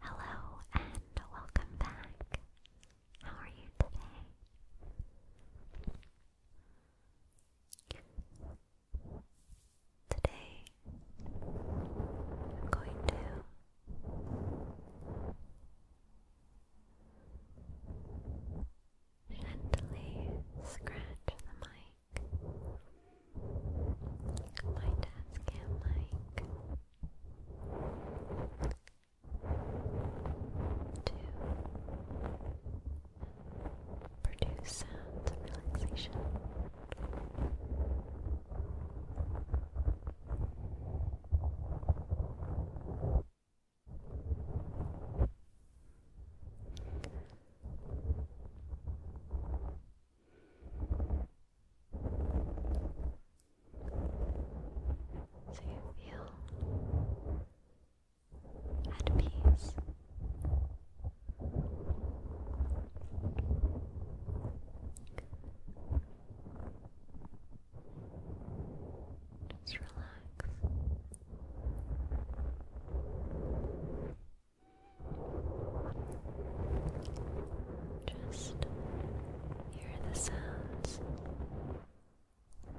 Hello and welcome back. How are you today? Today I'm going to gently scratch the my dad's cam mic to produce sounds of relaxation. So you feel at peace. Just relax. Just hear the sounds. I'm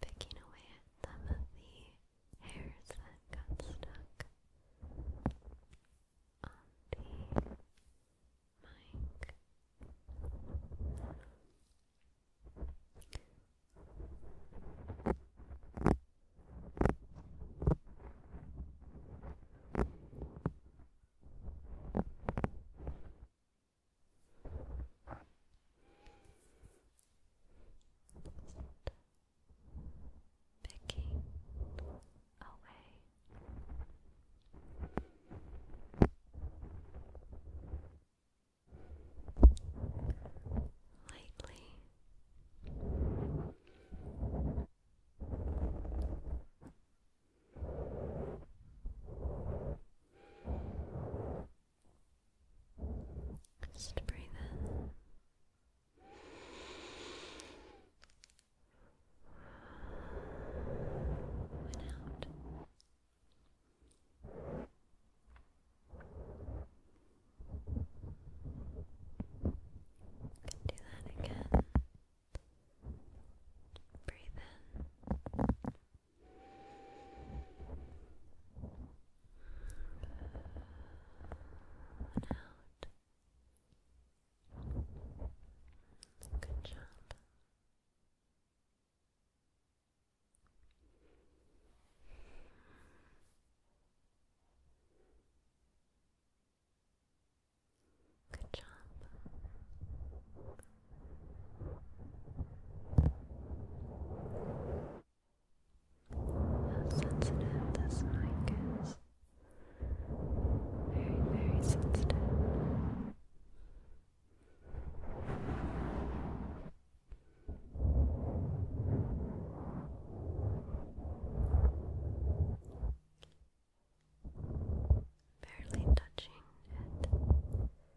picking away at some of the hairs that got stuck on the mic picking away. Lightly just breathe in. out. do that again. Breathe in out. Good job. Good job. How sensitive this mic is. Very, very sensitive. Barely touching it.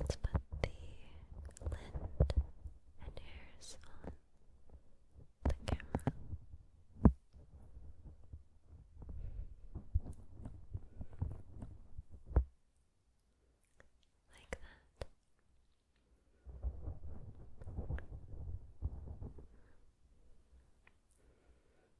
Let's put the lint and hairs on the camera. Like that.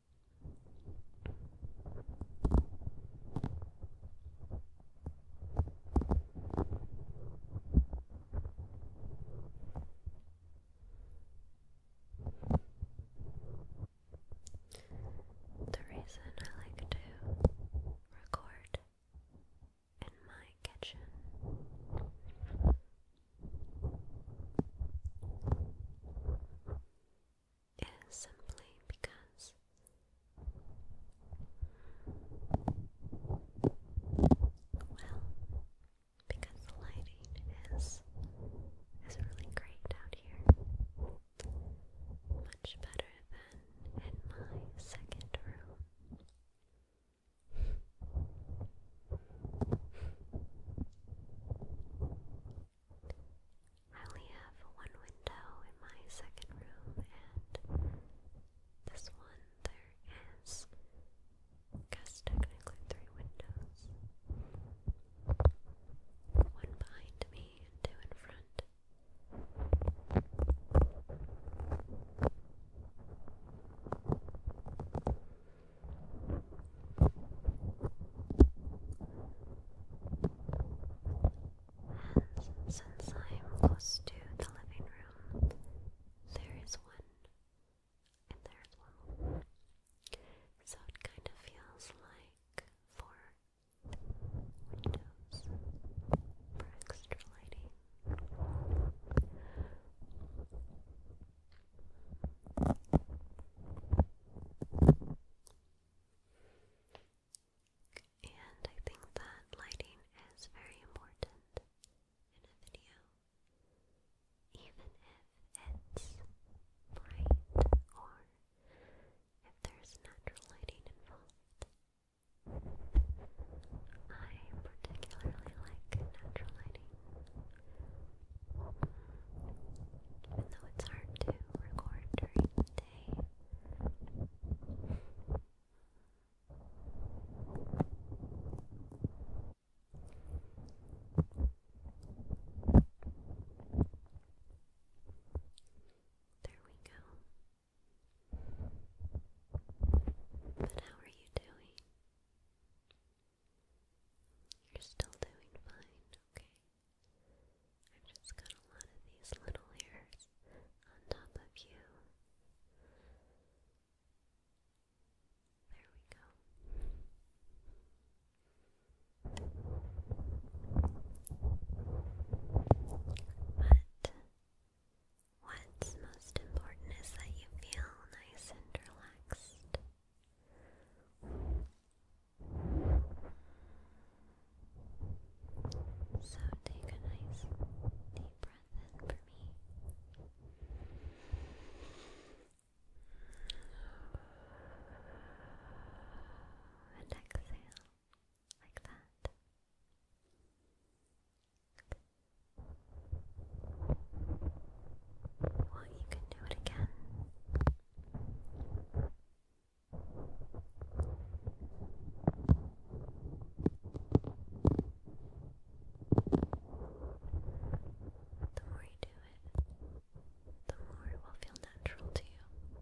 The reason I like to record in my kitchen is simply because well because the lighting is is really great out here. Much better than in my second room. I only have one window in my second room, and this one there is, because technically three windows. One behind me two in front. And since I am close to the living room, there is one, and there is one more. So it kind of feels like four windows for extra lighting. And I think that lighting is very important in a video, even if it's bright or if there's natural lighting involved. I particularly like natural lighting. Even though it's hard to record during the day. There we go. But how are you doing? You're still doing fine, okay? I've just got a lot these little hairs on top of you. There we go. But what's most important is that you feel nice and relaxed. So take a nice deep breath in for me. And exhale like that. Well, you can do it again. The more you do it, the more it will feel natural to you.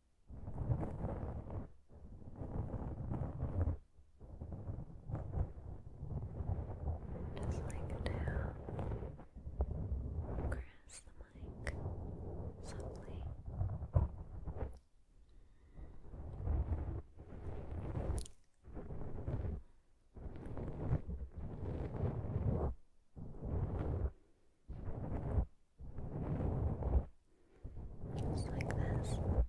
Just like down, caress the mic softly. Just just like this. Just like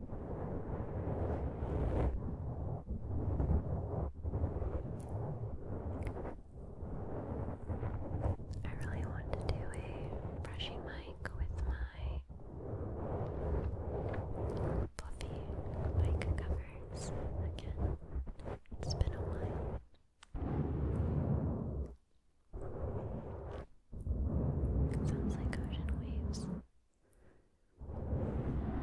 I really want to do a brushing mic with my fluffy mic covers again. It's been a while. Sounds like ocean waves. Movie sound a little different.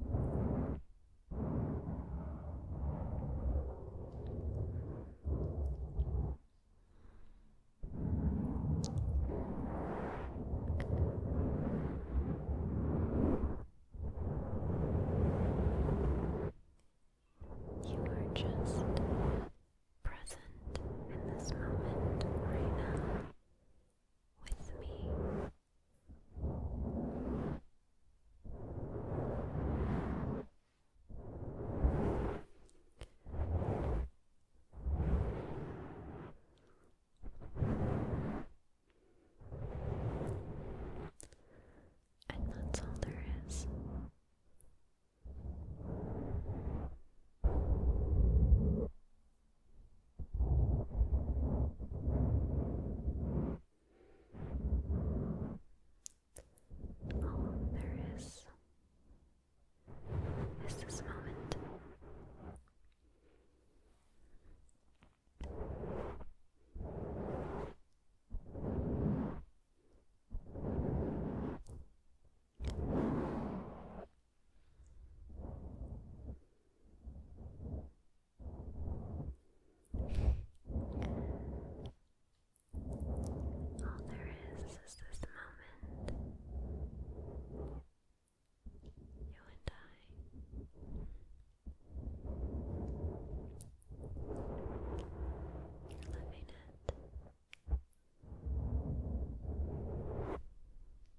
You are just present in this moment right now with me. And that's all there is. All there is is this moment. All there is is this moment. You and I. Living it.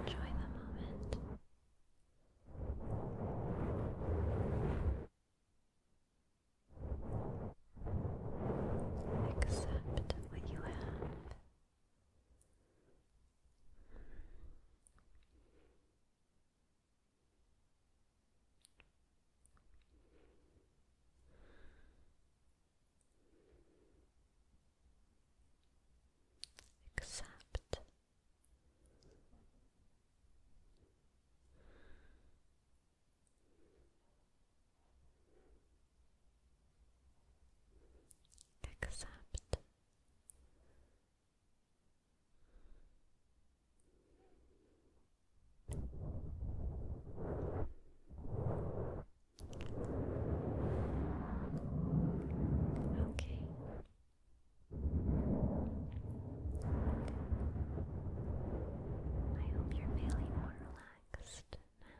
Enjoy the moment. Accept what you have. Accept. Accept. Okay. I hope you're feeling more relaxed now.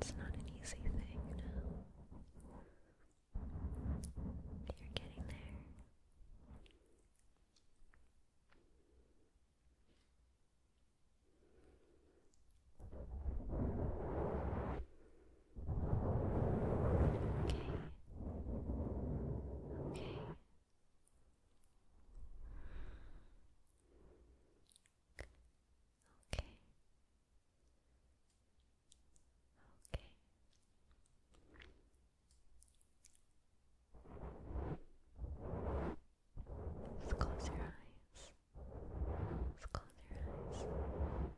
It's not an easy thing, no. You're getting there. Okay. Okay. Okay. Okay. Just close your eyes. Just close your eyes.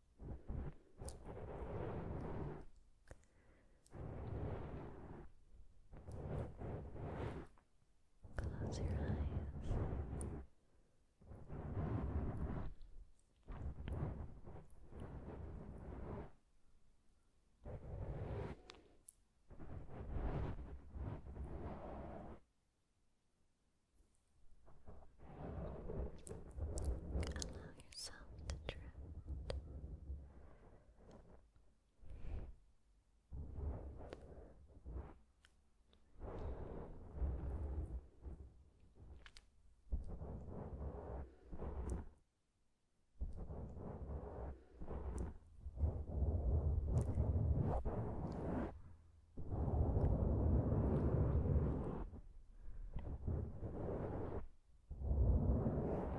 Close your eyes. Allow yourself to drift. Oh,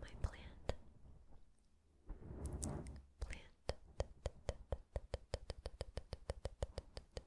my plant. Plant.